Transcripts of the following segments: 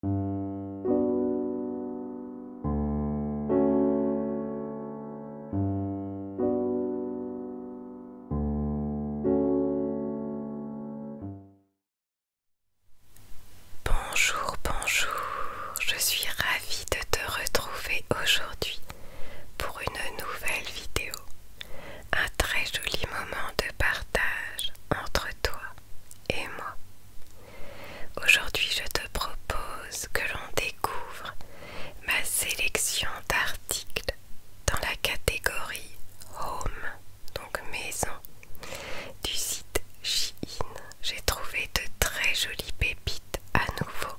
Bonjour, bonjour, je suis ravie de te retrouver aujourd'hui pour une nouvelle vidéo, un très joli moment de partage entre toi et moi. Aujourd'hui, je te propose que l'on découvre ma sélection d'articles dans la catégorie Home, donc maison, du site Shein. J'ai trouvé de très jolies pépites à nouveau.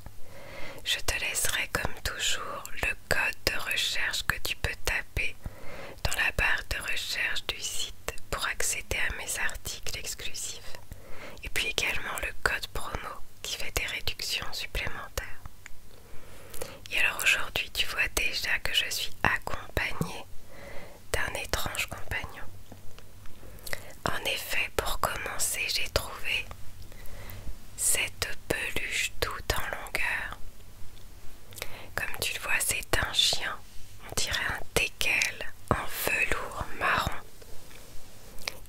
Je te laisserai comme toujours le code de recherche que tu peux taper dans la barre de recherche du site pour accéder à mes articles exclusifs et puis également le code promo qui fait des réductions supplémentaires. Et alors aujourd'hui tu vois déjà que je suis accompagnée d'un étrange compagnon. En effet pour commencer j'ai trouvé cette peluche tout en longueur comme tu le vois, c'est un chien. On dirait un teckel en velours marron.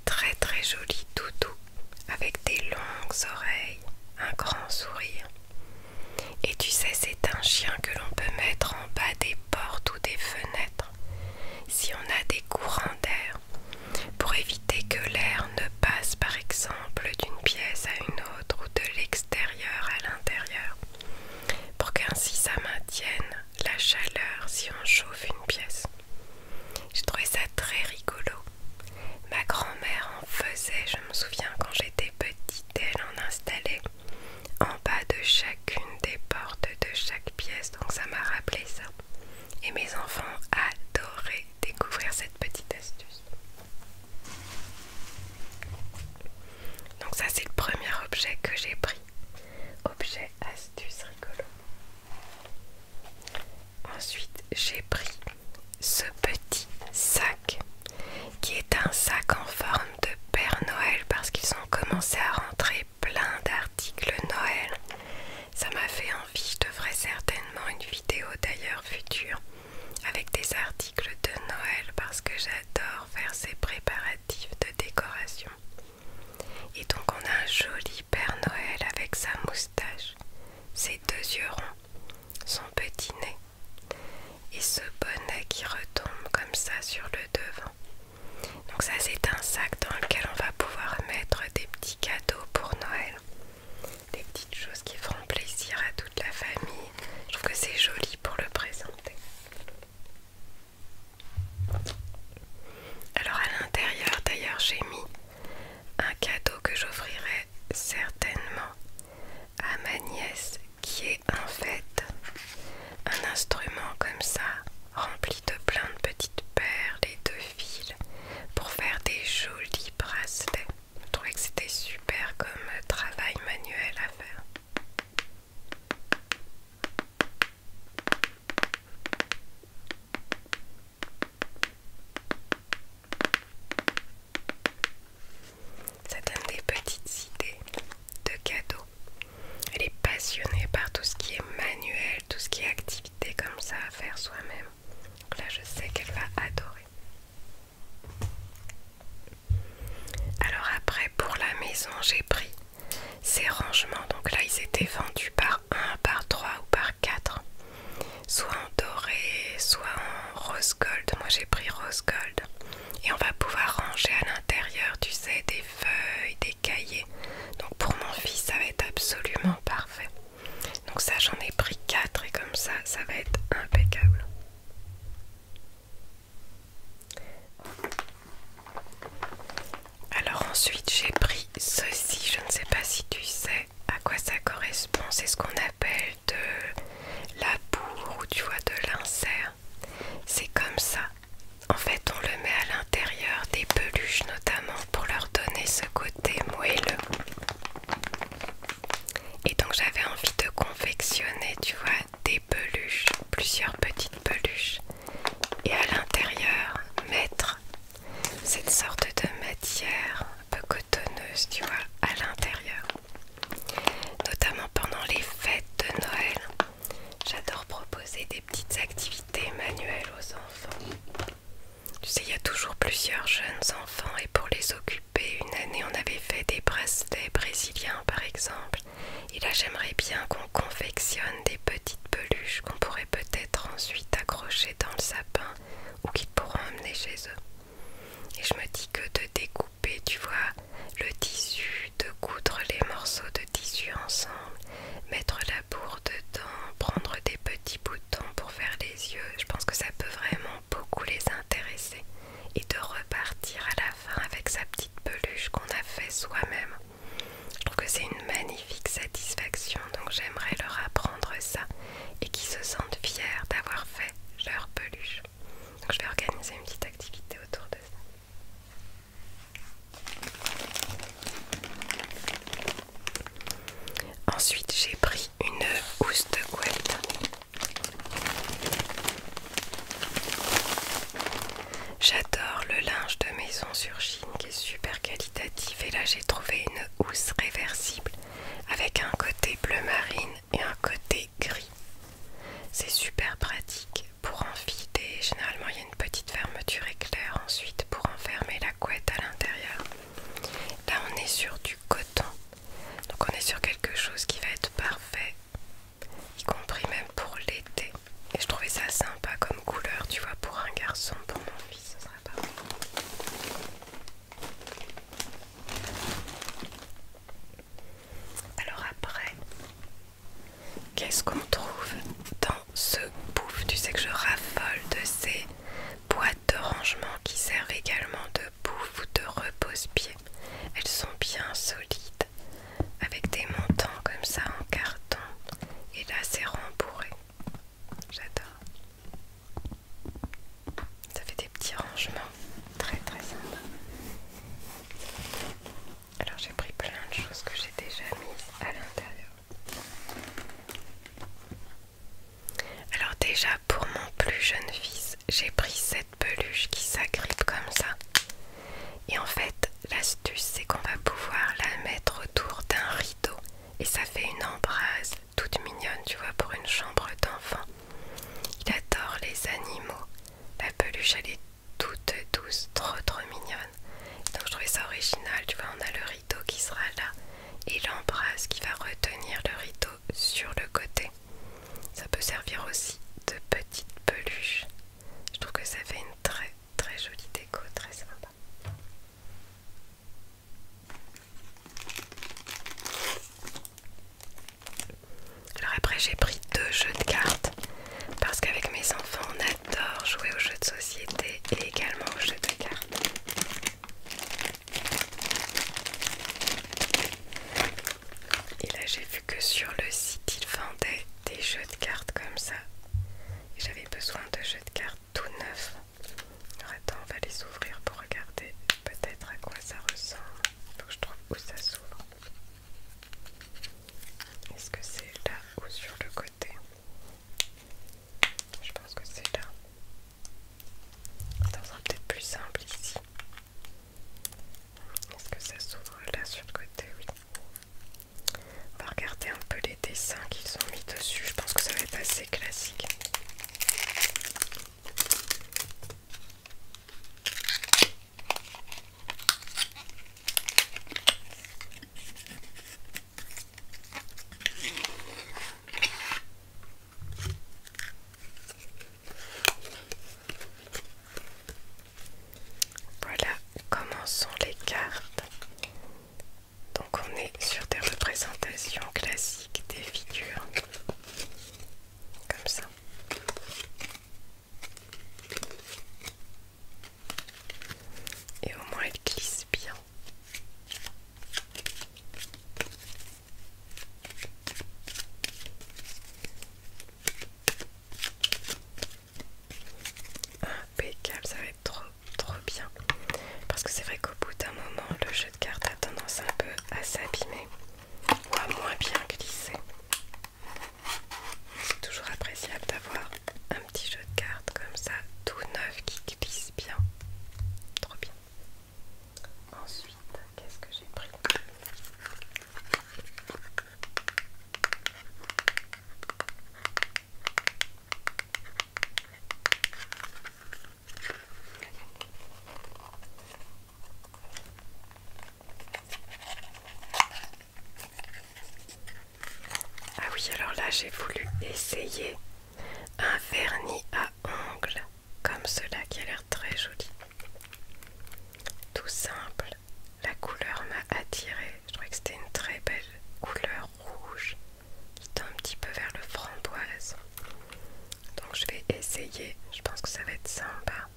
Très très joli toutou avec des longues oreilles, un grand sourire. Et tu sais, c'est un chien que l'on peut mettre en bas des portes ou des fenêtres si on a des courants d'air pour éviter que l'air ne passe par exemple d'une pièce à une autre ou de l'extérieur à l'intérieur pour qu'ainsi ça maintienne la chaleur si on chauffe une pièce. J'ai trouvé ça très rigolo. Ma grand-mère en faisait, je me souviens quand j'étais petite, elle en installait en bas de chacune des portes de chaque pièce, donc ça m'a rappelé ça. Et mes enfants adoraient découvrir cette petite astuce. Donc ça c'est le premier objet que j'ai pris. Objet astuce rigolo. Ensuite j'ai pris ce petit sac qui est un sac en forme de Père Noël parce qu'ils ont commencé à rentrer plein d'articles Noël. Ça m'a fait envie, je devrais certainement une vidéo d'ailleurs future avec des articles de Noël parce que j'adore faire ces préparatifs de décoration. Et donc on a un joli Père Noël avec sa moustache, ses deux yeux ronds, son petit nez et ce bonnet qui retombe comme ça sur le devant. Donc ça c'est un sac dans lequel on va pouvoir mettre des petits cadeaux pour Noël. Des petites choses qui feront plaisir à toute la famille. Je trouve que c'est joli pour le présenter. Alors à l'intérieur d'ailleurs j'ai mis un cadeau que j'offrirai certainement à ma nièce qui est en fait un instrument comme ça rempli de plein de petites perles et de fils pour faire des jolis bracelets. Je trouvais que c'était super comme travail manuel à faire. Ça donne des petites idées de cadeaux. Elle est passionnée par tout ce qui est manuel, tout ce qui est activité comme ça à faire soi-même. Donc là, je sais qu'elle va adorer. Alors après pour la maison j'ai pris ces rangements. Donc là ils étaient vendus par 1, par 3 ou par 4. Soit en doré, soit en rose gold. Moi j'ai pris rose gold. Et on va pouvoir ranger à l'intérieur, tu sais, des feuilles, des cahiers. Donc pour mon fils ça va être absolument parfait. Donc ça j'en ai pris 4 et comme ça ça va être impeccable. Alors ensuite j'ai pris ceci, je ne sais pas si tu sais à quoi ça correspond, c'est ce qu'on appelle de la bourre ou tu vois de l'insert. C'est comme ça. En fait on le met à l'intérieur des peluches notamment pour leur donner ce côté moelleux. Et donc j'avais envie de confectionner, tu vois, des peluches, plusieurs petites peluches, et à l'intérieur mettre cette sorte de matière un peu cotonneuse, tu vois, à l'intérieur. Notamment pendant les fêtes de Noël, j'adore proposer des petites activités manuelles aux enfants. Tu sais, il y a toujours plusieurs jeunes enfants et pour les occuper, une année, on avait fait des bracelets brésiliens, par exemple. Et là, j'aimerais bien qu'on confectionne des petites peluches qu'on pourrait peut-être ensuite accrocher dans le sapin ou qu'ils pourront emmener chez eux. Et je me dis que de découper, tu vois, le tissu, de coudre les morceaux de tissu ensemble, mettre la bourre dedans, prendre des petits boutons pour faire les yeux, je pense que ça peut vraiment beaucoup les intéresser et de repartir à la fin avec sa petite peluche qu'on a fait soi-même. Je trouve que c'est une magnifique satisfaction, donc j'aimerais leur apprendre ça et qu'ils se sentent fiers d'avoir fait leur peluche. je vais organiser une petite activité autour de ça. Ensuite, j'ai pris une housse de couette J'adore le linge de maison sur Chine qui est super qualitatif et là j'ai trouvé une housse réversible avec un côté bleu marine et un côté gris. C'est super pratique pour enfiler, généralement il y a une petite fermeture éclair ensuite pour enfermer la couette à l'intérieur. Là on est sur du coton donc on est sur quelque chose qui va être parfait, y compris même pour l'été. Et je trouvais ça sympa comme couleur, tu vois, pour un garçon, pour mon fils, ce sera pas mal Alors après, qu'est-ce qu'on trouve dans ce bouffe Tu sais que je raffole de ces boîtes de rangement qui servent également de bouffe ou de repose-pied. Elles sont bien solides, avec des montants comme ça en carton. Et là, c'est rembourré. J'adore. Ça fait des petits rangements. Très très sympas. Alors j'ai pris plein de choses que j'ai déjà mises à l'intérieur. Alors déjà pour mon plus jeune fils, j'ai pris cette peluche qui s'agrippe comme ça. Et en fait, l'astuce c'est qu'on va pouvoir la mettre autour d'un rideau et ça fait une embrase toute mignonne, tu vois, pour une chambre d'enfant. Il adore les animaux. La peluche elle est toute douce, trop trop mignonne. Donc je trouvais ça original, tu vois, on a le rideau qui sera là et l'embrasse qui va retenir le rideau sur le côté. Ça peut servir aussi de petite peluche. Je trouve que ça fait une très très jolie déco, très sympa. Alors après j'ai pris deux jeux de cartes parce qu'avec mes enfants on adore jouer aux jeux de société et également aux jeux de cartes. Et là j'ai vu que sur le site ils vendaient des jeux de cartes comme ça. j'avais besoin de jeux de cartes tout neufs. Alors attends, on va les ouvrir pour regarder peut-être à quoi ça ressemble. Faut que je trouve où ça s'ouvre. Est-ce que c'est là ou sur le côté Je pense que c'est là. Ça un peut-être plus simple ici. Est-ce que ça s'ouvre là sur le côté Oui. On va regarder un peu les dessins qu'ils ont mis dessus. Je pense que ça va être assez classique. Voilà, sont les cartes. Donc on est sur des représentations classiques des figures. Comme ça. Et au moins elles glissent bien. Impeccable, ça va être trop trop bien. Parce que c'est vrai qu'au bout d'un moment, le jeu de cartes a tendance un peu à s'abîmer ou à moins bien glisser. C'est toujours appréciable d'avoir un petit jeu de cartes comme ça, tout neuf qui glisse bien. Trop bien. Ensuite, qu'est-ce que j'ai pris ah oui, alors là j'ai voulu essayer un vernis à ongles comme cela qui a l'air très joli. Tout simple, la couleur m'a attirée. Je trouvais que c'était une très belle couleur rouge qui tend un petit peu vers le framboise. Donc je vais essayer, je pense que ça va être sympa.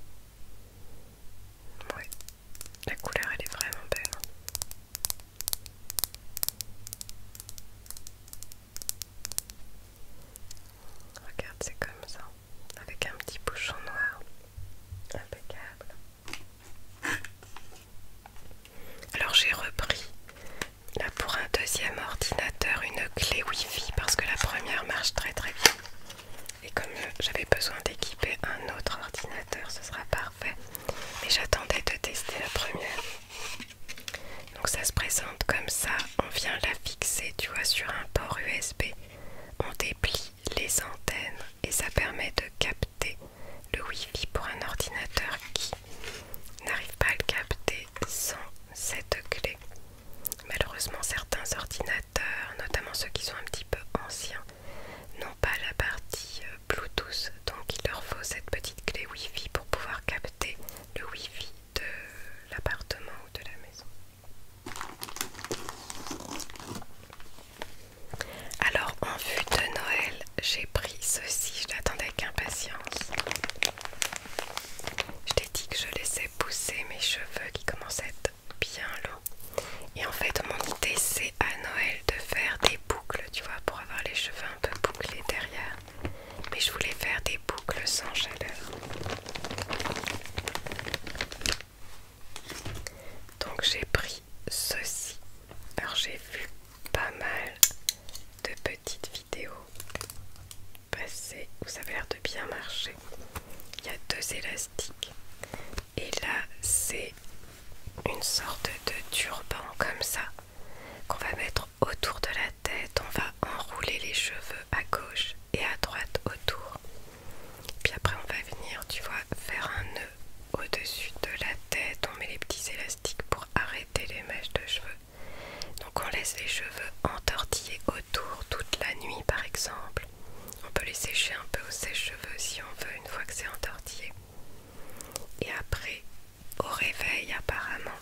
Ouais, la couleur elle est vraiment belle. Regarde, c'est comme ça, avec un petit bouchon noir. Impeccable. Alors j'ai repris là pour un deuxième ordinateur une clé Wi-Fi parce que la première marche très très bien. Et comme j'avais besoin d'équiper un autre ordinateur, ce sera parfait. Mais j'attendais de tester la première. Donc ça se présente comme ça, on vient la fixer, tu vois, sur un port USB. On déplie les antennes et ça permet de capter le Wi-Fi pour un ordinateur qui n'arrive pas à le capter sans cette clé. Malheureusement, certains ordinateurs, notamment ceux qui sont un petit peu anciens, n'ont pas la partie euh, Bluetooth, donc il leur faut cette petite clé Wi-Fi pour pouvoir capter le Wi-Fi de l'appartement ou de la maison. Alors en vue de Noël, j'ai pris ceci, je l'attendais avec impatience. Je t'ai dit que je laissais pousser mes cheveux qui commençaient à être bien longs. Et en fait, mon idée c'est à Noël de faire des boucles, tu vois, pour avoir les cheveux un peu bouclé derrière, mais je voulais faire des boucles sans chaleur. Donc j'ai pris ceci. Alors j'ai vu pas mal de petites vidéos passer vous ça avait l'air de bien marcher. Il y a deux élastiques et là c'est une sorte de turban comme ça qu'on va mettre autour de la tête. On va enrouler les cheveux à gauche et à droite autour. Puis après on va venir, tu vois, faire un nœud au-dessus de la tête. On met les petits élastiques pour arrêter les mèches de cheveux. Donc on laisse les cheveux entortillés autour toute la nuit par exemple. On peut les sécher un peu au sèche-cheveux si on veut une fois que c'est entortillé. Et après au réveil, apparemment,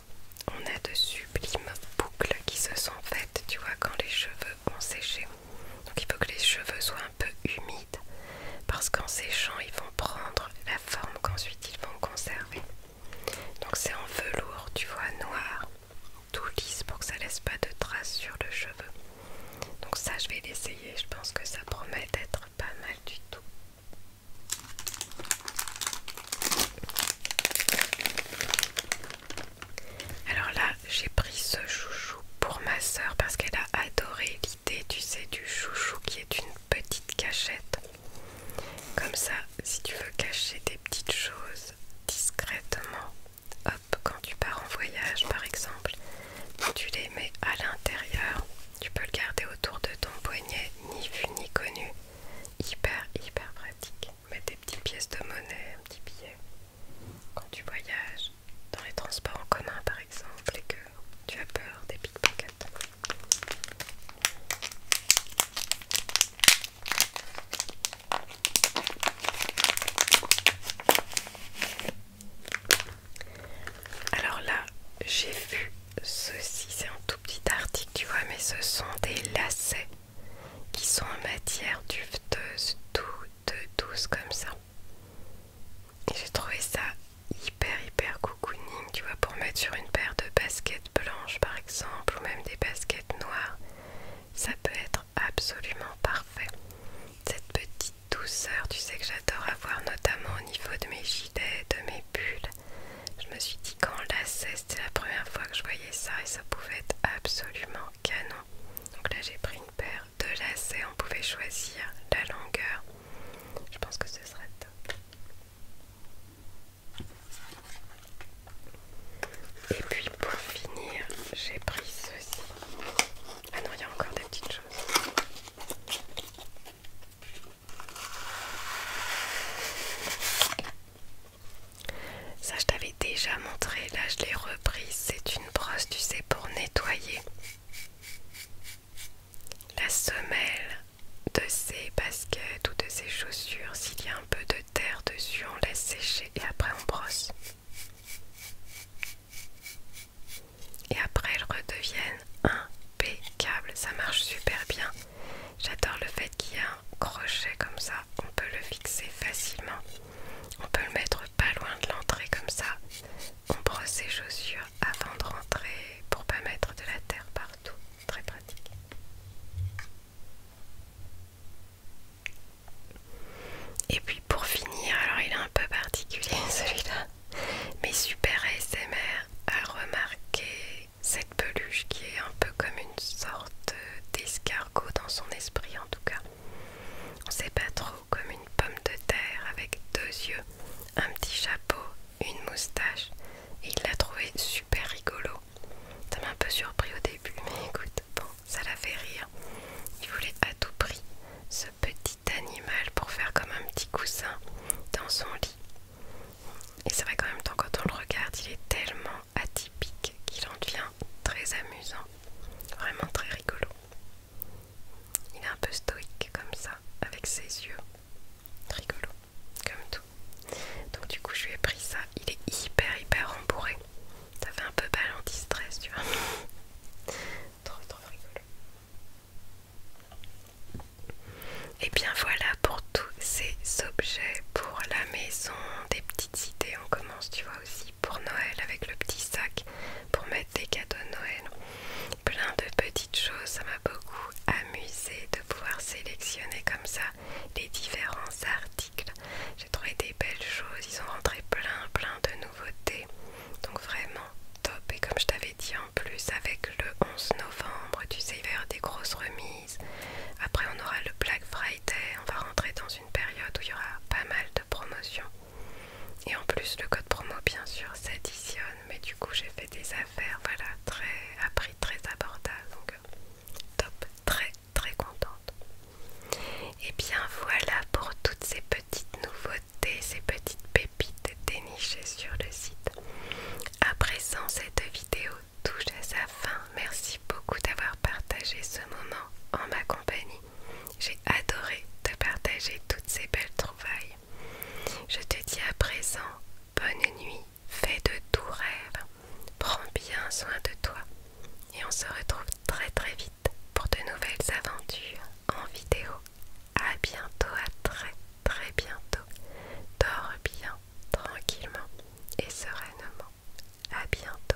on a de sublimes boucles qui se sont faites, tu vois, quand les cheveux ont séché. Donc il faut que les cheveux soient un peu humides, parce qu'en séchant, ils vont prendre la forme qu'ensuite ils vont conserver. Donc c'est en velours, tu vois, noir, tout lisse pour que ça laisse pas de traces sur le cheveu. Donc ça, je vais l'essayer, je pense que ça promet d'être pas mal du tout. Alors là, j'ai pris ce chouchou pour ma soeur parce qu'elle a adoré l'idée, tu sais, du chouchou qui est une petite cachette. Comme ça, si tu veux cacher des petites choses discrètement, hop, quand tu pars en voyage par exemple, tu les mets à l'intérieur. Tu peux le garder autour de ton poignet, ni vu ni connu. Hyper, hyper pratique. Mets des petites pièces de monnaie, un petit billet. Quand tu voyages, dans les transports en commun par exemple, et que tu as peur des pickpockets. Alors là, j'ai vu ceci, c'est un tout petit article, tu vois, mais ce sont des lacets qui sont en matière duveteuse, tout douce comme ça. Et J'ai trouvé ça hyper hyper cocooning, tu vois, pour mettre sur une paire de baskets blanches par exemple, ou même des baskets noires, ça peut être absolument parfait. Cette petite douceur, tu sais que j'adore avoir notamment au niveau de mes gilets, de mes bulles. Je me suis dit qu'en lacet, c'était la première fois que je voyais ça et ça pouvait être absolument canon. Donc là j'ai pris une paire de lacets, on pouvait choisir la longueur. Je pense que ce serait top. Et puis pour finir, j'ai pris ceci. Ah non, il y a encore des petites choses. Ça, je t'avais déjà montré. Là, je l'ai repris C'est une brosse, tu sais, pour nettoyer la semelle de ces baskets ou de ses chaussures. S'il y a un peu de terre dessus, on laisse sécher et après on brosse. Et après, elles redeviennent impeccables. Ça marche super bien. J'adore le fait qu'il y ait un crochet comme ça. On peut le fixer facilement. On peut le mettre pas loin de l'entrée comme ça. On brosse ses chaussures avant de rentrer pour pas mettre de la terre partout. Très pratique. Et puis pour finir, alors il est un peu particulier celui-là. Mais super ASMR a remarqué cette peluche qui est un peu comme une sorte d'escargot dans son esprit en tout cas. On sait pas trop, comme une pomme de terre avec deux yeux, un petit chapeau, une moustache. Et il l'a trouvé super rigolo. Ça m'a un peu surpris au début, mais écoute, bon, ça l'a fait rire. Il voulait à tout prix ce petit d'animal pour faire comme un petit coussin dans son lit. Et c'est vrai qu'en même temps, quand on le regarde, il est tellement atypique qu'il en devient très amusant, vraiment très rigolo. Il est un peu stoïque comme ça, avec ses yeux, rigolo, comme tout. Donc du coup, je lui ai pris ça. Il est hyper hyper rembourré. Ça fait un peu balle stress tu vois. trop trop rigolo. Et bien voilà pour tous ces objets pour la maison, des petites idées. On commence, tu vois, aussi pour Noël avec le petit sac pour mettre des cadeaux de Noël. Plein de petites choses, ça m'a beaucoup amusé de pouvoir sélectionner comme ça les différents articles. J'ai trouvé des belles choses, ils ont rentré plein plein de donc vraiment top. Et comme je t'avais dit en plus, avec le 11 novembre, tu sais, il y avoir des grosses remises. Après, on aura le Black Friday. On va rentrer dans une période où il y aura pas mal de promotions. Et en plus, le code promo, bien sûr, s'additionne. Mais du coup, j'ai fait des affaires, voilà, très, à prix très abordable. Donc, top, très, très contente. Et bien voilà pour toutes ces petites nouveautés, ces petites pépites dénichées sur le site. À présent, cette vidéo touche à sa fin. Merci beaucoup d'avoir partagé ce moment en ma compagnie. J'ai adoré te partager toutes ces belles trouvailles. Je te dis à présent, bonne nuit, fais de tout rêves, prends bien soin de toi et on se retrouve très très vite pour de nouvelles aventures en vidéo. à bientôt, à très très bientôt. Dors bien, tranquillement et sereinement. à bientôt.